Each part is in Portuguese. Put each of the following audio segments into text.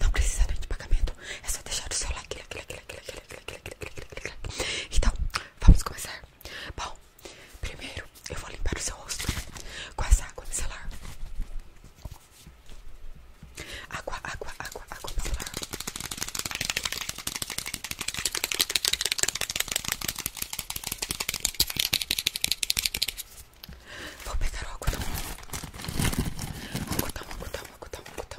não precisa nem de pagamento, é só deixar o seu like. Então, vamos começar. Bom, primeiro eu vou limpar o seu rosto com essa água celular Água, água, água, água micelar. Vou pegar o algodão. Algodão, algodão, algodão, algodão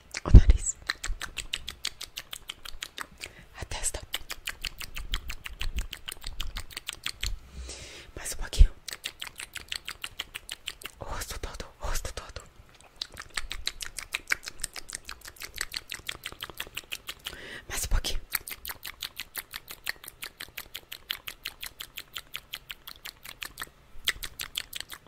o nariz, a testa, mais um pouquinho, o rosto todo, rosto todo, mais um pouquinho.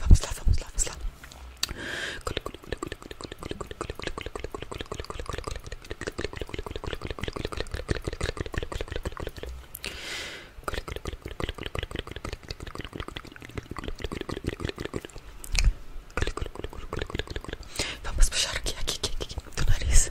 Vamos lá, vamos lá, vamos lá. Vamos pro charque aqui, aqui, aqui, do nariz.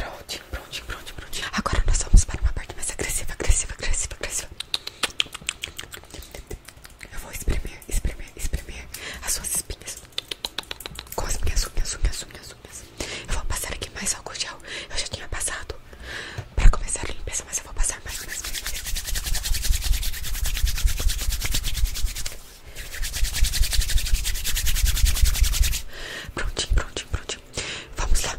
prontinho prontinho prontinho prontinho Agora nós vamos para uma parte mais agressiva, agressiva, agressiva, agressiva. Eu vou espremer, espremer, espremer as suas espinhas com as minhas unhas, unhas, unhas, unhas. Eu vou passar aqui mais álcool gel. Eu já tinha passado pra começar a limpeza, mas eu vou passar mais. mais, Prontinho, prontinho, prontinho. Vamos lá.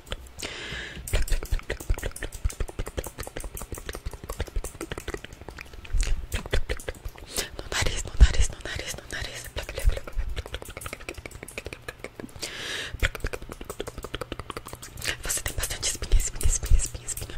No nariz, no nariz, no nariz, no nariz. Você tem bastante espinha, espinha, espinha, espinha, espinha.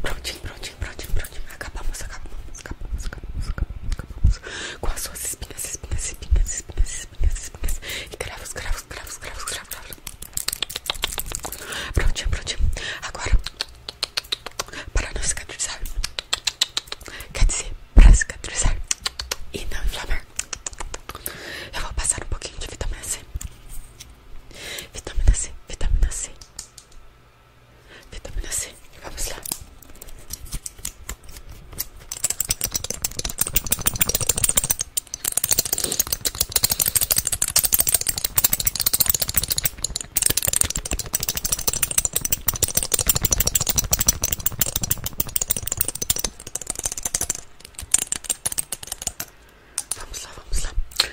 Prontinho, prontinho, prontinho, prontinho. Acabamos, acabamos, acabamos, acabamos, acabamos, acabamos. Com as suas espinhas, espinhas, espinhas, espinhas, espinhas, espinhas. E gravos gravos gravos gravos cravos, cravos. Prontinho, prontinho. Agora, para não cicatrizar. Quer dizer, para cicatrizar e não inflamar. Eu vou passar um pouquinho de vitamina C. Vitamina C, vitamina C. Vitamina C. Vamos lá. Vamos lá, vamos lá.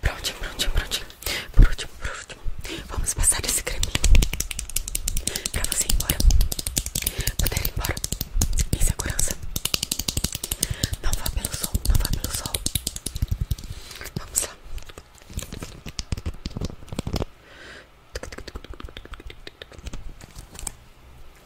Prontinho, prontinho, prontinho. prontinho prontinho vamos passar esse creminho pra você ir embora. Poder ir embora em segurança. Não vá pelo sol, não vá pelo sol. Vamos lá.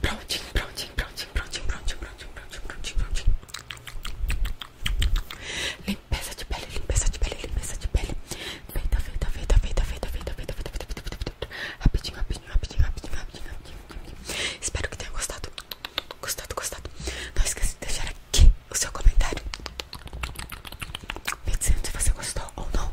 Prontinho, prontinho, prontinho, prontinho, prontinho, prontinho, prontinho, prontinho, prontinho. Limpeza de pele, limpeza de pele, limpeza de pele. Feita, feita, feita, feita, feita, feita, feita, feita, feita, feita, feita. Rapidinho, rapidinho, rapidinho, rapidinho, rapidinho, rapidinho. Espero que tenha gostado. Gostado, gostado. Não esqueça de deixar aqui o seu comentário. Me dizendo se você gostou ou não.